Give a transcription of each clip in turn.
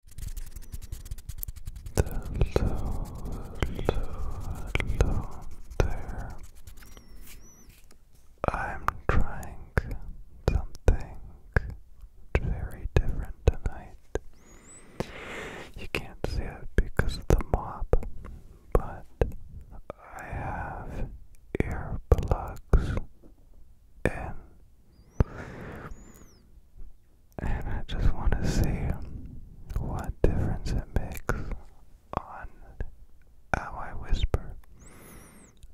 Hello, there. I'm trying something very different tonight. You can't see it because of the mop, but I have earplugs in and I just want to see what difference it makes on how I whisper.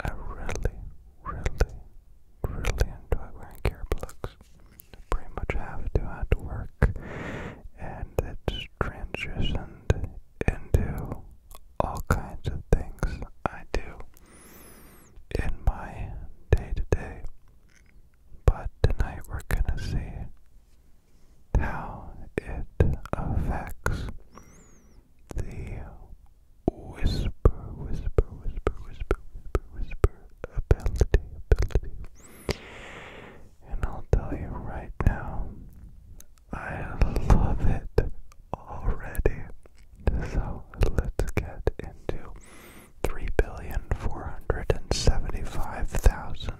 I really, really, really enjoy wearing earplugs. I pretty much have to at work, and it's transitioned into all kinds of things I do in my day to day. But tonight we're gonna see how it affects the whisper, whisper, whisper, whisper, whisper, whisper ability, And I'll tell you right now, I love it already. So let's get into three billion four hundred and seventy five thousand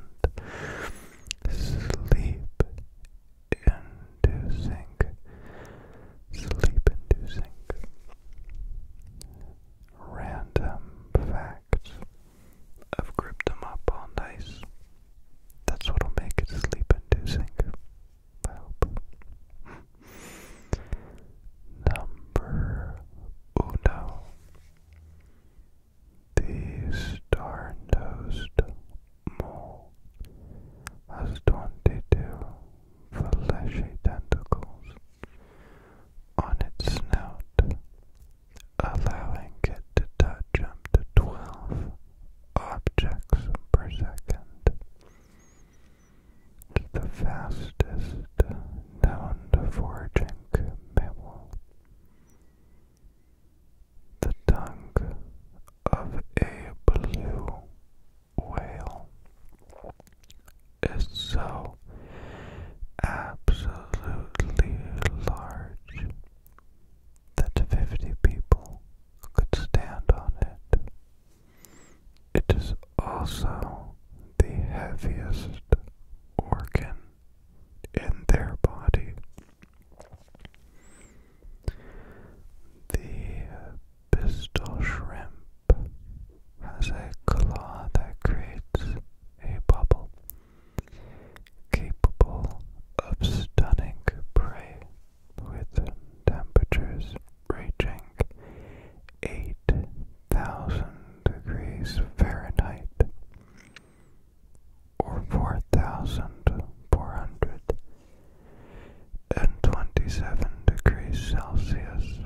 sleep inducing sleep inducing random facts. I've grouped them up all nice. That's what'll make it sleep inducing. I hope. Number uno. The star-nosed mole has 22 fleshy tentacles on its snout, allowing it to touch up to 12 objects per second the fastest known foraging mammal. The tongue of a blue whale is so absolutely large that fifty people could stand on it it is also the heaviest organ in their body. The pistol shrimp has a claw that creates a bubble capable of stunning prey with temperatures reaching 8,000 degrees Fahrenheit or 4,427 degrees Celsius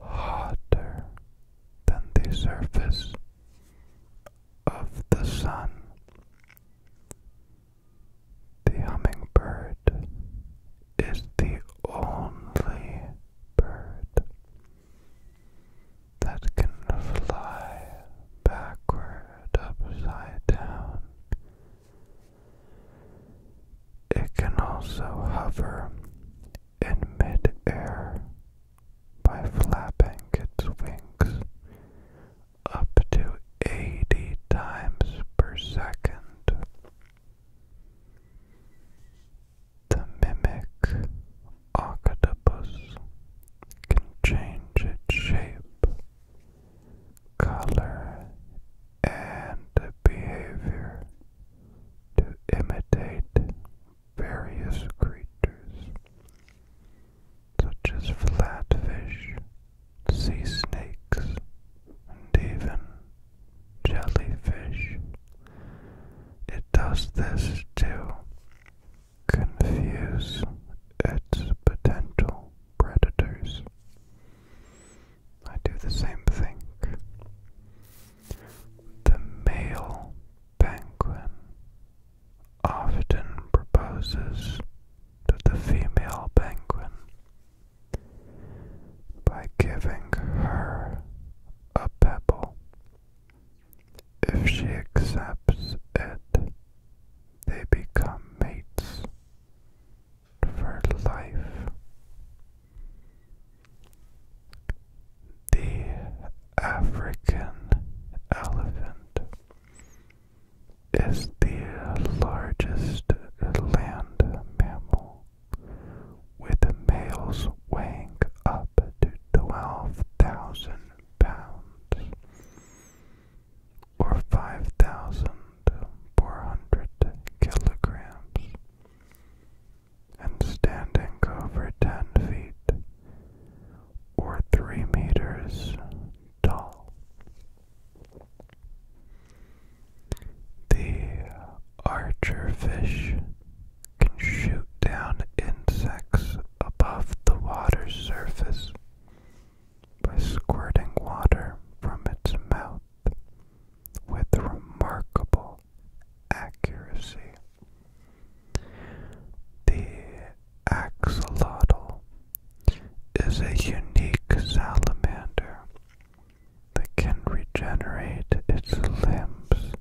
hotter than the surface of the sun. The hummingbird is the only bird that can fly backward upside down. It can also hover in midair by flapping its wings up to 80 times per second. The mimic octopus can change its shape, color, and behavior to imitate various creatures, such as flatfish, sea snakes, and even jellyfish. It does this to confuse its potential predators. I do the same thing. The male penguin often proposes to the female penguin by giving her a pebble. If she accepts it, they become mates for life. The African elephant is the largest land mammal with males weighing up to 12,000 pounds or 5,400 kilograms and standing over 10 feet or 3 meters tall. The archerfish can shoot down insects above the water's surface by squirting water from its mouth with remarkable accuracy. The axolotl is a unique salamander that can regenerate its limbs,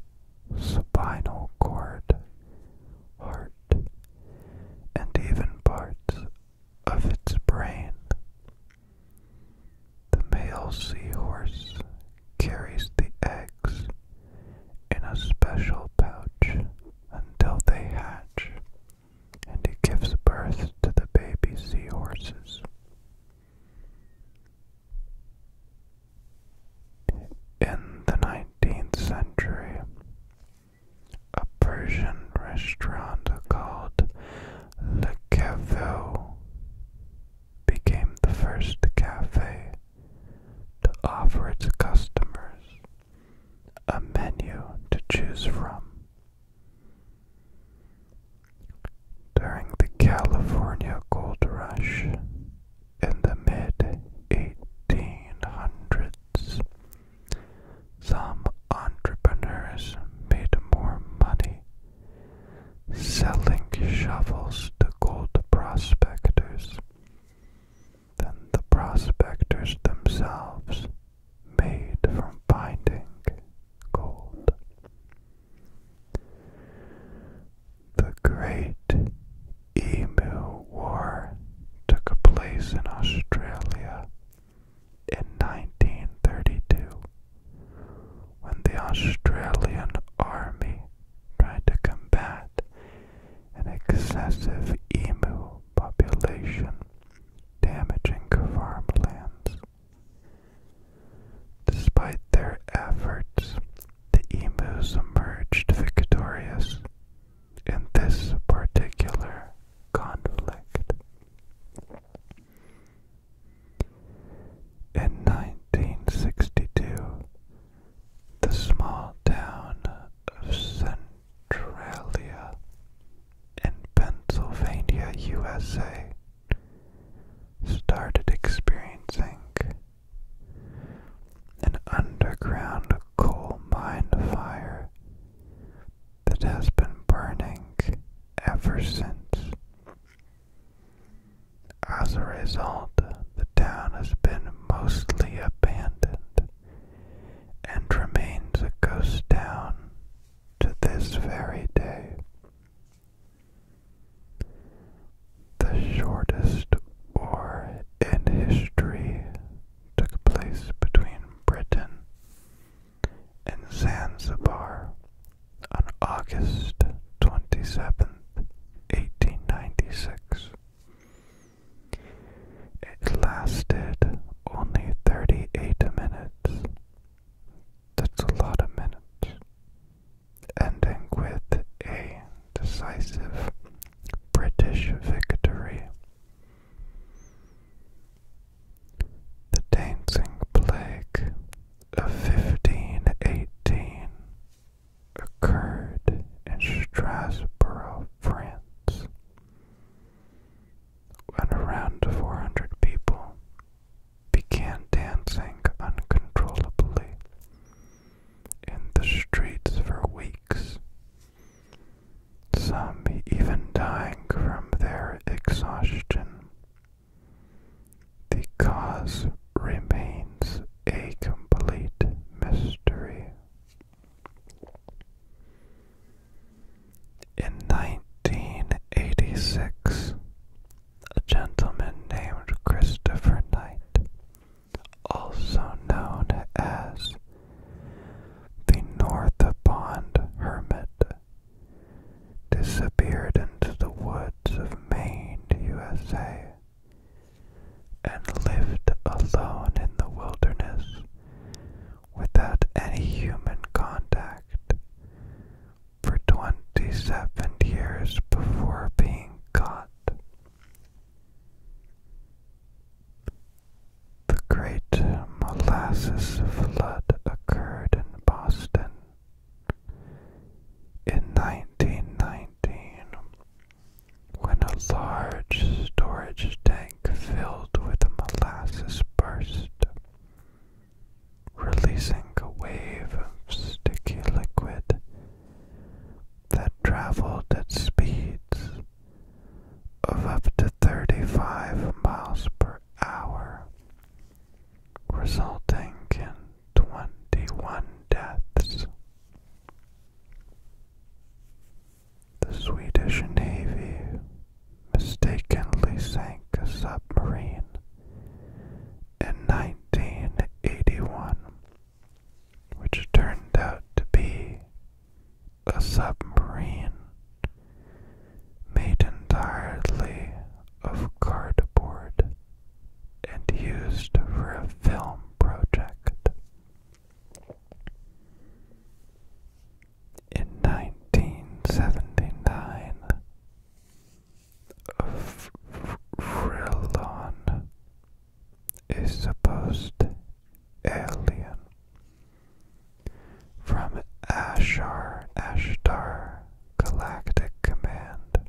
spinal cord, heart, and even parts of its brain. The male seahorse carries the eggs in a special pouch until they hatch and it gives birth to the baby seahorses. In the 19th century, a Persian restaurant called Le Caveau became the first cafe to offer its customers a menu to choose from during the California Gold Rush in the mid 1800s, some entrepreneurs made more money selling shovels to gold prospectors than the prospectors themselves made from finding the Great Emu War took place in Australia in 1932 when the Australian Army tried to combat an excessive emu population damaging farmlands. Despite their efforts, the emus emerged victorious in this particular conflict. In 1962, the small town of Centralia in Pennsylvania, USA, started experiencing an underground coal mine fire that has been burning ever since. As a result, the town has been mostly abandoned and remains a ghost town to this very day. The shortest war in history took place between Britain and Zanzibar on August 27, 1896. It lasted only 38 minutes that's a lot of minutes. Ending with a decisive British victory. The Dancing Plague of 1518 occurred in Strasbourg, France when around 400 people began dancing uncontrollably in the streets for weeks, some even dying from their exhaustion. The cause remains a complete mystery. In 1986, a gentleman named Christopher Knight, also known as the North Pond Hermit, disappeared into the woods of Maine, USA, and lived alone in the wilderness without any human contact for 27 years before being caught. The Great Molasses Flood occurred in Boston in 1919 when a large storage tank filled with molasses burst releasing a wave of sticky liquid that traveled at speeds of up to 35 miles per hour, resulting in 21 deaths the Swedish Navy mistakenly sank a submarine in 1981, which turned out to be a submarine made entirely of cardboard and used for a film project in 1979 Frillon is supposed alien from Ashar Ashtar Galactic Command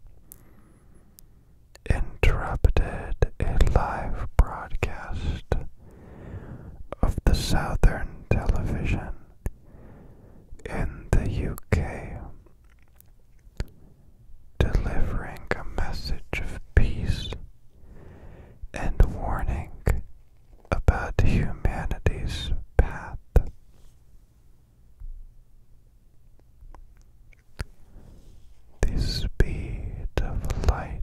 interrupted a live broadcast of the Southern Television in the UK, delivering a message of peace and warning about humanity's path. This speed of light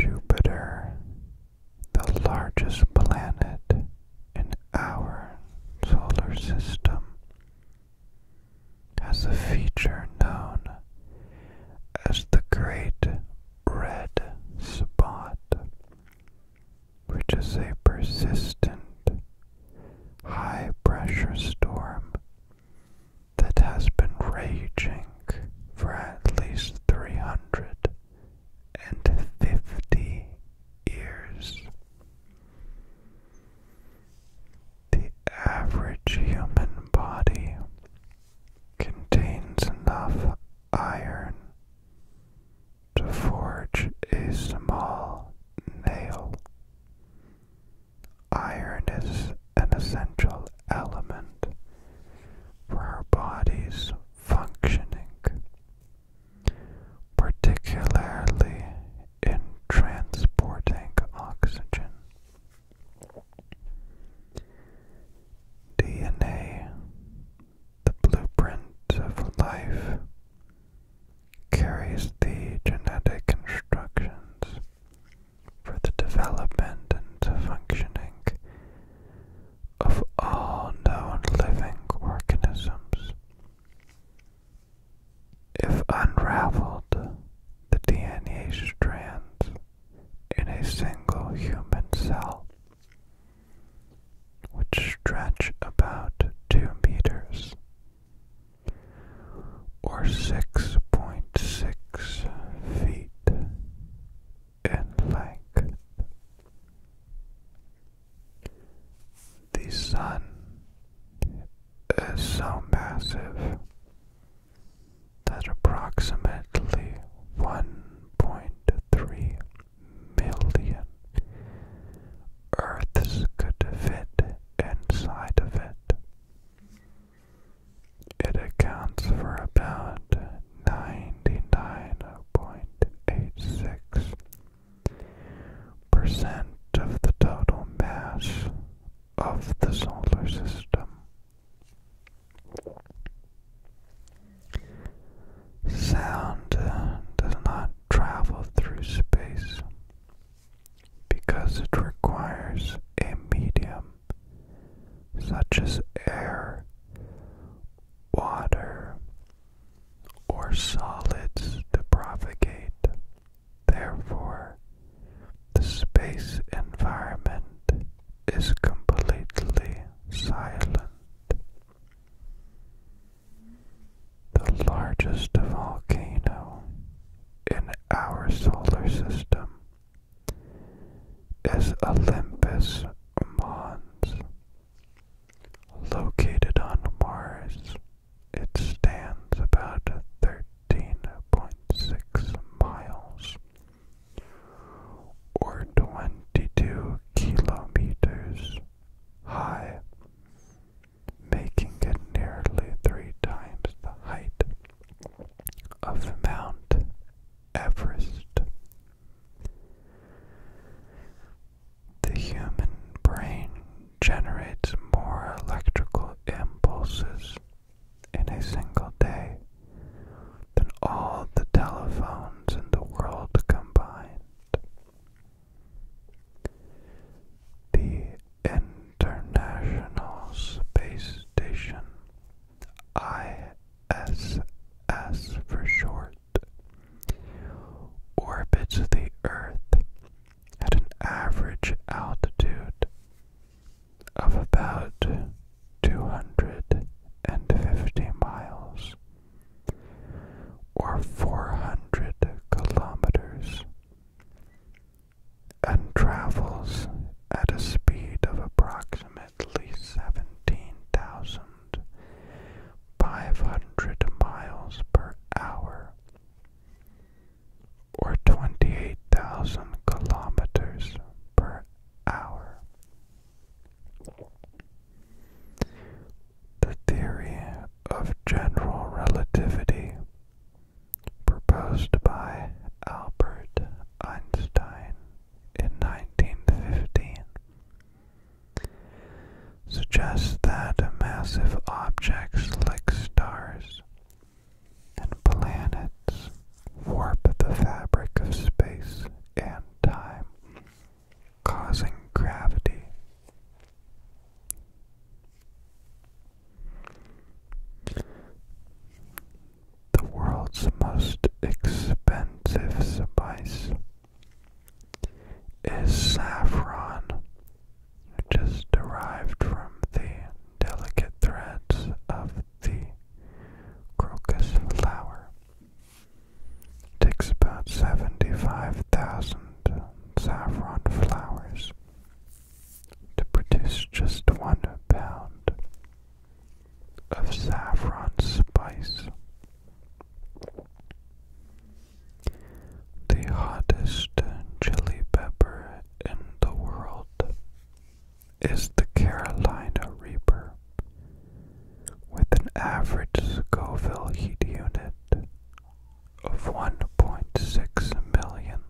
Jupiter, the largest planet in our solar system, has a feature known as the Great Red Spot, which is a persistent high pressure storm that has been raging for at least 350 years. The average human body contains enough iron to forge a small nail. Iron is an essential element for our body's functioning, particularly in transporting oxygen. DNA, the blueprint of life, carries the genetic instructions for the development and functioning of all known living organisms. If unraveled, the DNA strands in a single human cell which stretch about 2 meters or 6.6 feet and length. The sun is so massive that approximately 1.3 million Earths could fit inside of it. It accounts for about 99.86% of the total mass of the solar system. Sound uh, does not travel through space because it requires a medium such as air, water, or solids to propagate. Therefore, the space environment is completely silent. The largest volcano in our solar system is Olympus Mons. Located on Mars, it stands about 13.6 miles or 22 kilometers high, making it nearly three times the height of Mount Everest. The human brain generates more electrical impulses in a single day than all the telephones in the world combined. The International Space Station ISS for short, orbits the Earth at an average altitude of about 250 miles or 400 kilometers and travels at a speed of approximately 17,500 miles per hour or 28,000 kilometers per hour. The theory of general relativity proposed by Albert Einstein in 1915, suggests that massive objects like stars and planets warp the fabric of space and time, causing gravity the world's most expensive spice is saffron, which derived from the delicate threads of the crocus flower. It takes about 75,000 saffron flowers to produce just one pound of saffron spice. The hottest chili pepper in the world is the Carolina Reaper with an average Scoville heat unit of 1.6 million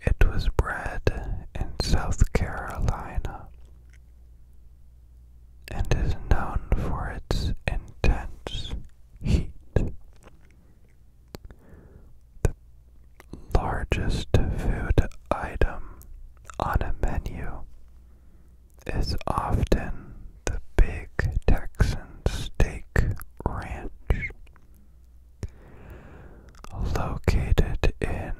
it was bred in South Carolina and is known for its intense heat. The largest food item on a menu is often the Big Texan Steak Ranch, Located in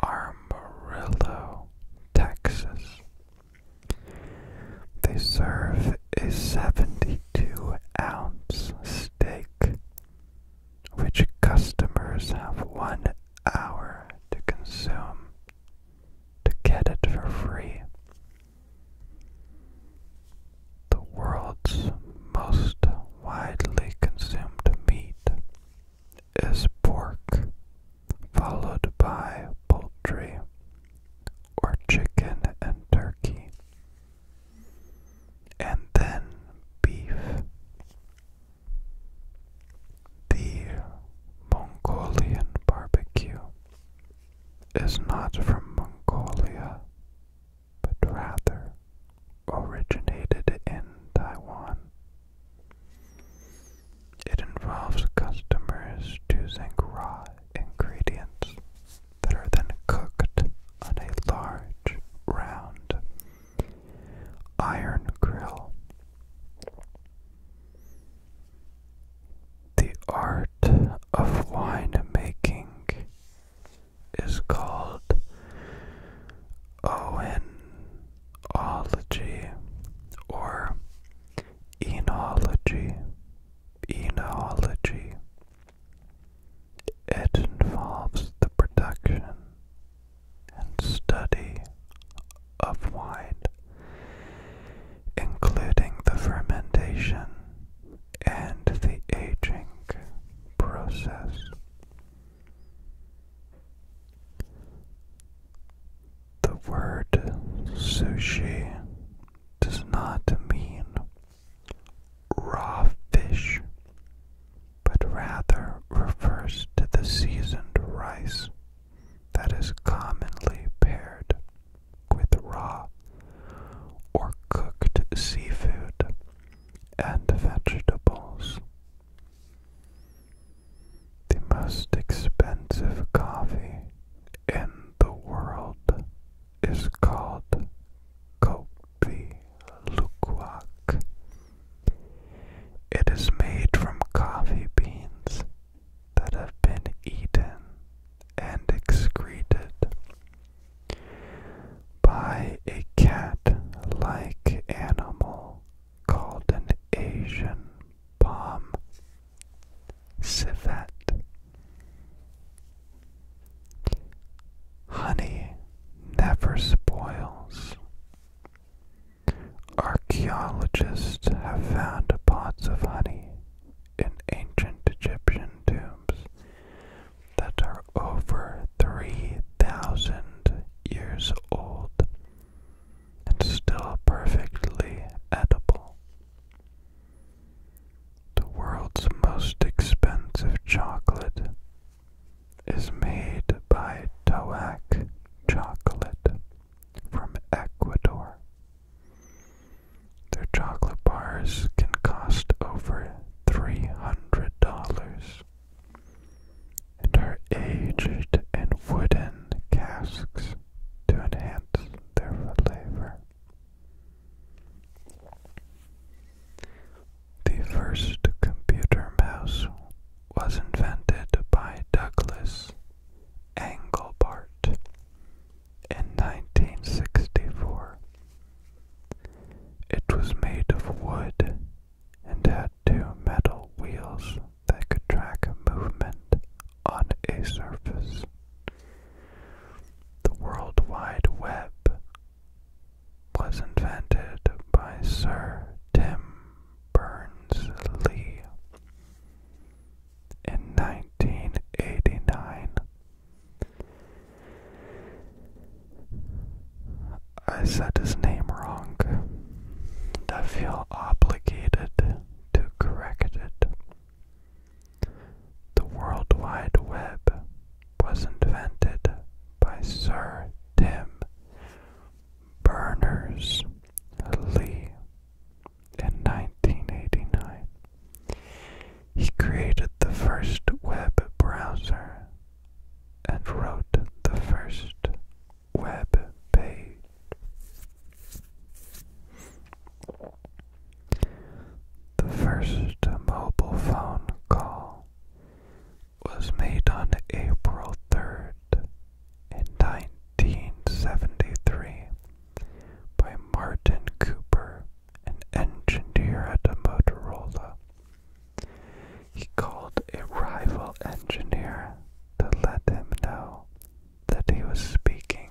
Amarillo, Texas, they serve a 72 ounce steak, which customers have one hour to consume to get it for free. The world's most widely consumed meat is pork, followed by poultry or chicken and turkey, and then beef. The Mongolian barbecue is not from Mongolia but rather originated in Taiwan. It involves customers choosing raw ingredients that are then cooked on a large, round iron grill. The art of winemaking is called oenology or enology. Enology. It involves the production and study of wine, including the fermentation and the aging process. The word sushi does not mean raw fish, but rather refers to the seasoned rice that is commonly paired with raw or cooked seafood and vegetables. The most expensive coffee in the world is called Kopi Luwak. It is made from coffee beans that have been eaten and excreted by a cat-like animal called an Asian palm civet. Honey never spoils. Archaeologists have found pots of honey in ancient Egyptian tombs that are over 3,000 years old and still perfectly edible. The world's most expensive chocolate is made by Toac chocolate from Ecuador. Their chocolate bars can cost over $300. And are aged in wooden casks to enhance their flavor. The first computer mouse was invented by Douglas Engelbart in 1964. It was made of wood and had two metal wheels that could track movement on a surface. The World Wide Web was invented by Sir Tim Berners-Lee in 1989. I said his name wrong. I feel obligated to correct it. The World Wide Web was invented by Sir Tim Berners-Lee in 1989, he created the first web browser and wrote the first web page. The first mobile phone call was made on April 3rd in 1973 by Martin Cooper, an engineer at Motorola. He called a rival engineer to let him know that he was speaking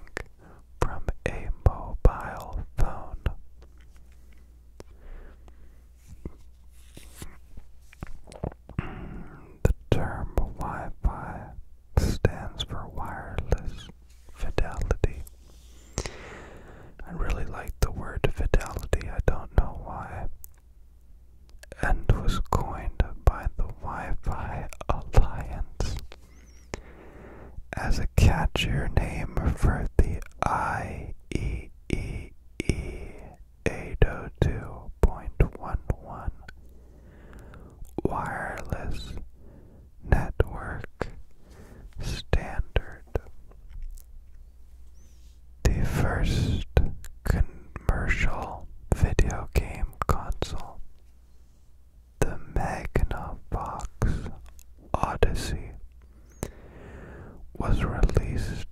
from a mobile phone. The term Wi stands for wireless fidelity. I really like the word fidelity, I don't know why, and was coined by the Wi Fi Alliance as a catchier name for the IEEE 802.11 wireless network standard. The first commercial video game console, the Magnavox Odyssey, was released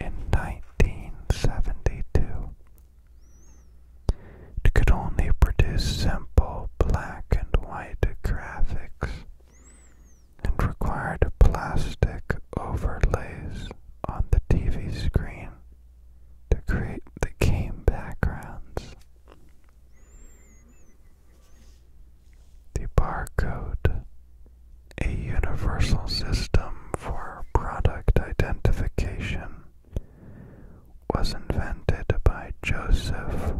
in 1972. It could only produce simple black and white graphics and required plastic overlays on the TV screen to create the game backgrounds. The barcode, a universal system for product identification, was invented by Joseph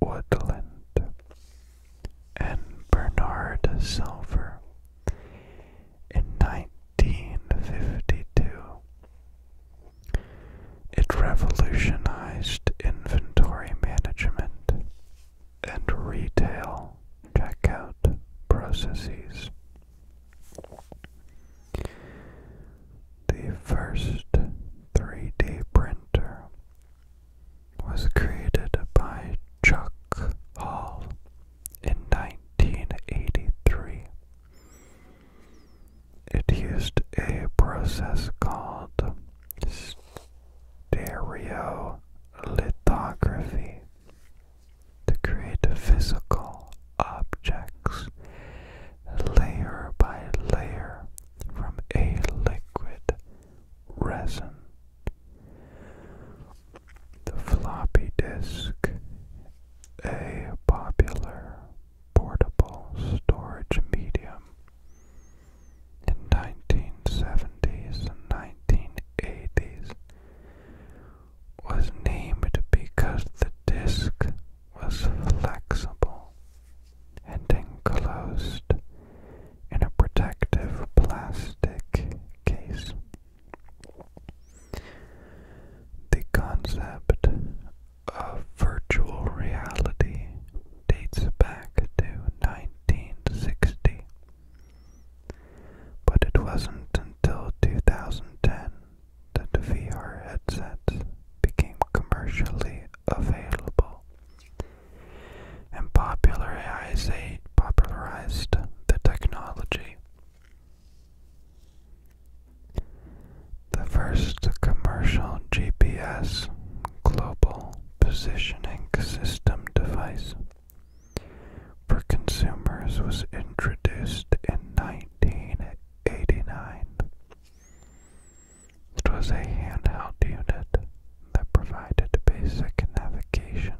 Woodland and Bernard Silver in 1952. It revolutionized inventory management and retail checkout processes. The first 3D printer was created by Chuck Hall in 1983. It used a process called stereolithography to create a physical objects layer by layer from a liquid resin. The floppy disk, a popular portable storage medium. In 1970s and 1980s was named because the disk was flexible and enclosed in a protective plastic case. The concept of virtual reality dates back to 1960, but it wasn't until 2010 that VR headset became commercially available, and popularized the technology. The first commercial GPS global positioning system device for consumers was introduced in 1989 it was a handheld unit that provided basic navigation,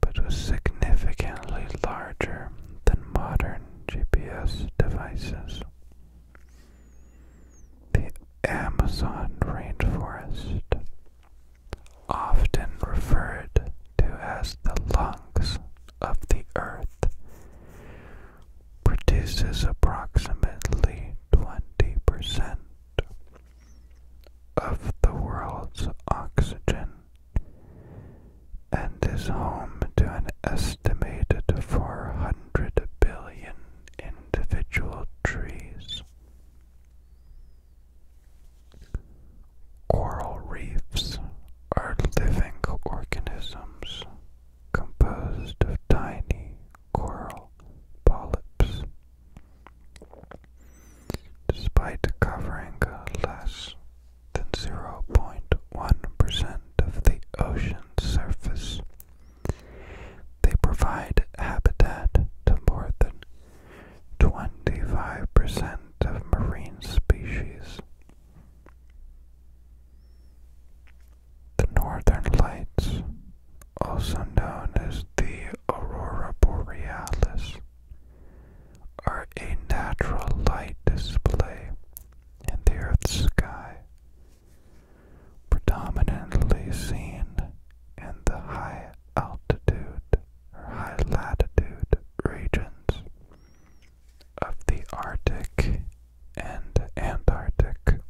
but was significantly larger than modern GPS devices. The Amazon rainforest, often referred to as the lungs of the Earth produces approximately 20% of the world's oxygen and is home to an estimated 400 billion individual trees. Coral reefs are living organisms composed of tiny coral polyps. Despite covering less than 0.1% of the ocean's surface, they provide habitat to more than 25% of marine species the northern lights, also known as the aurora borealis, are a natural light display in the Earth's sky, predominantly seen in the high altitude or high latitude regions of the Arctic and Antarctic.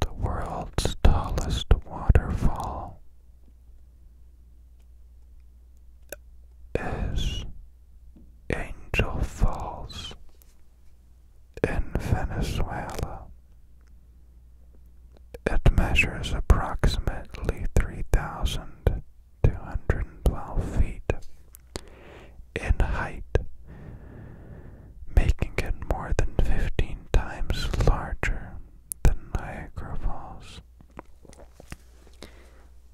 The world's tallest waterfall is Angel Falls in Venezuela. It measures approximately 3,000 212 feet in height, making it more than 15 times larger than Niagara Falls.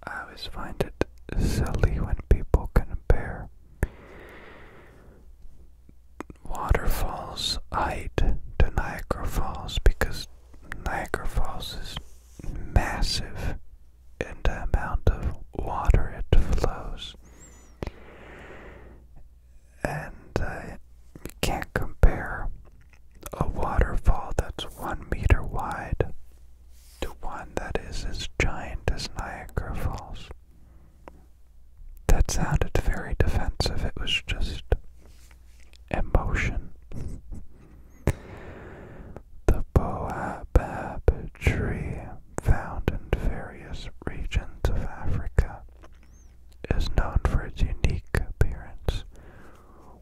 I always find it silly when people compare waterfalls height to Niagara Falls because Niagara Falls is massive and the amount of water it flows. And you can't compare a waterfall that's one meter wide to one that is as giant as Niagara Falls. That sounded very defensive. It was just emotion. the Boabab tree, found in various regions of Africa, is known for its unique appearance,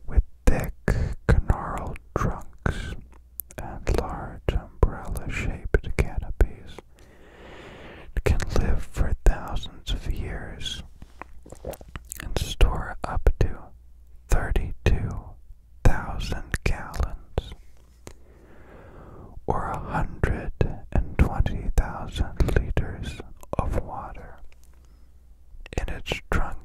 with thick, gnarled trunks and large umbrella-shaped canopies. can live for thousands of years and store up to 32,000 gallons, or 120,000 liters of water in its trunk.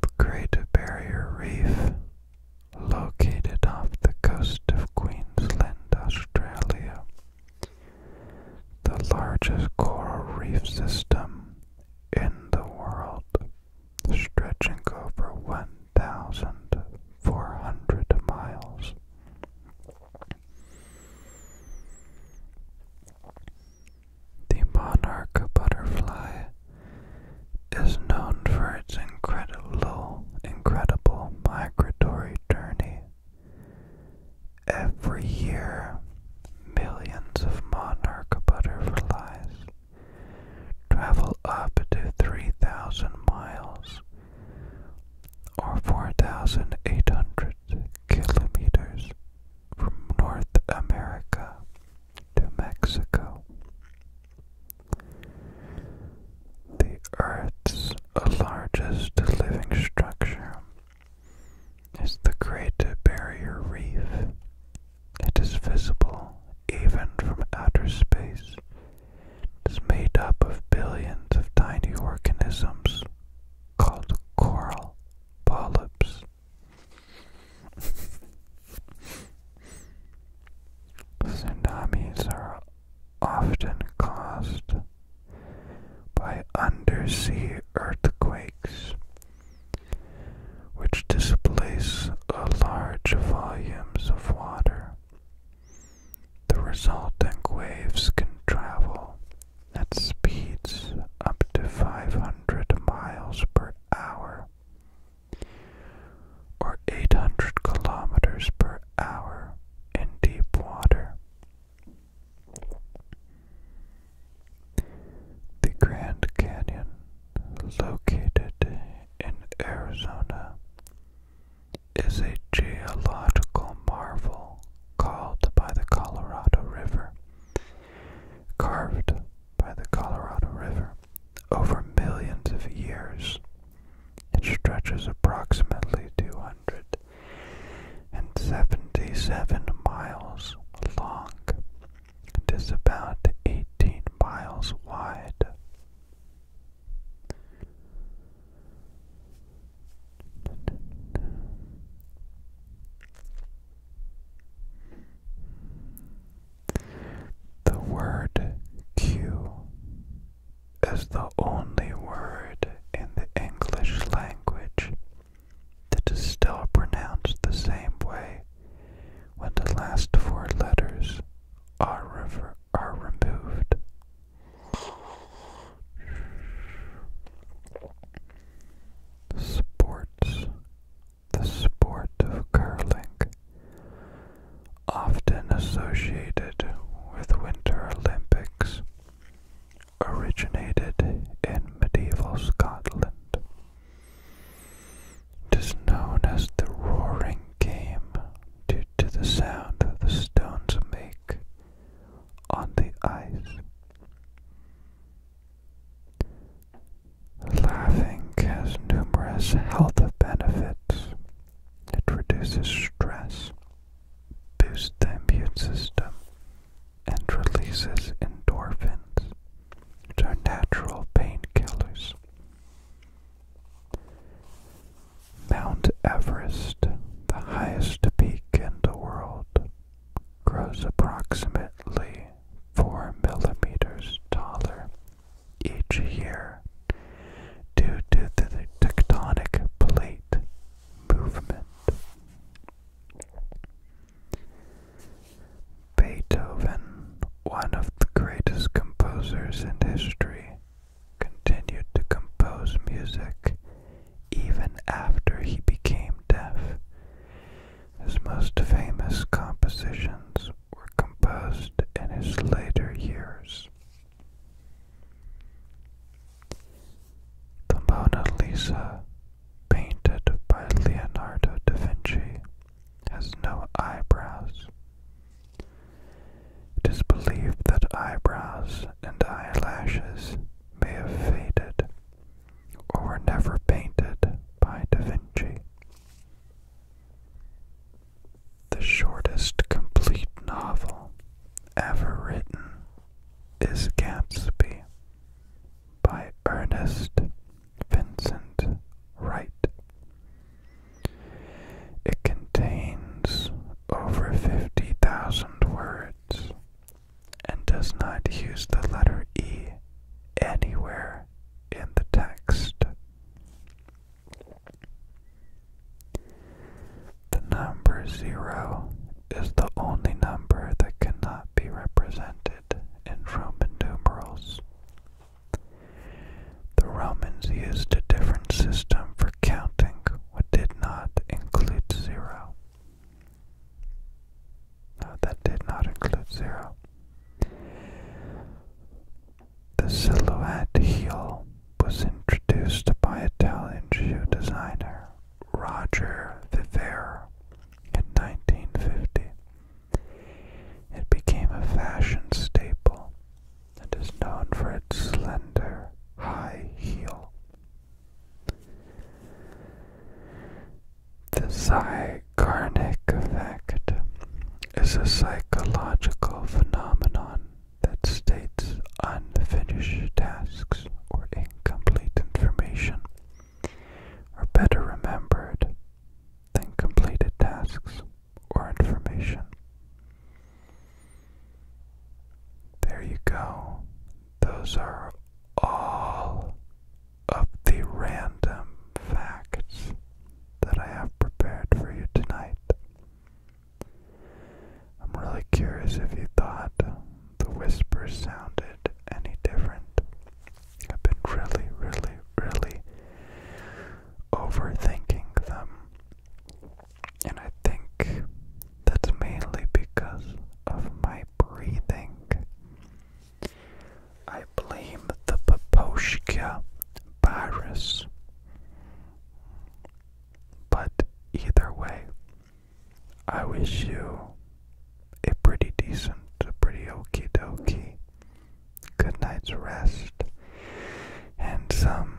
The Great Barrier Reef, located off the coast of Queensland, Australia, the largest coral reef system in the world, stretching over 1,400 miles. The monarch butterfly is known for its incredible, incredible migratory journey Every year, millions of monarch butterflies travel up to 3,000 miles or 4,800 kilometers from North America to Mexico. The Earth's largest living structure is the Great Barrier Reef. It is visible even from outer space. It is made up of billions of tiny organisms called coral polyps. Tsunamis are often caused by undersea earthquakes, which displace large volumes of water. The resulting waves can travel at speeds up to 500 miles per hour or 800 kilometers per hour in deep water. The Grand Canyon, located in Arizona, is a geological marvel called by the Colorado River, carved by the Colorado River over millions of years. It stretches approximately 200 and 77 miles long. It is about 18 miles wide. The word Q is the only word in the English language that is still pronounced the same way when the last four letters are, removed. Sports. The sport of curling, often associated with Winter Olympics, originated in medieval Scotland. It is known as the Roaring Game due to the sound the stones make on the ice. Laughing has numerous health benefits. It reduces stress, boosts the immune system and releases endorphins, which are natural painkillers. Mount Everest, the highest peak in the world, grows approximately 4 millimeters taller each year due to the tectonic plate movement. Beethoven, one of the greatest composers in history, continued to compose music even after he became deaf. His most famous compositions were composed in his later years. The Mona Lisa, painted by Leonardo da Vinci, has no eyebrows. It is believed that eyebrows and eyelashes may have faded or were never painted by da Vinci. The shortest complete novel ever written is Gatsby by Ernest Vincent Wright. It contains over 50,000 words and does not use the letter E anywhere in the text. The number zero is the only number that cannot be represented in Roman numerals. The Romans used a different system for counting what did not include zero. No, that did not include zero. The silhouette heel was introduced by Italian shoe designer Roger Viver in 1950. It became a fashion staple and is known for its slender high heel. The Zygarnik effect is a psychological phenomenon that states unfinished tasks or incomplete information are better remembered than completed tasks or information. There you go. Those are all of the random facts that I have prepared for you tonight. I'm really curious if you thought the whispers sounded any different. I've been really, really, really overthinking them. And I think that's mainly because of my breathing. I blame the Paposhka virus. But either way, I wish you a pretty decent, a pretty okey-dokey, good night's rest, and some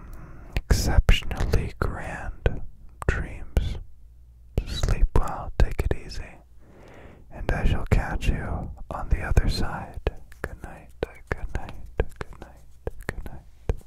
exceptionally grand dreams. Sleep well, take it easy, and I shall catch you on the other side. Good night, good night, good night, good night.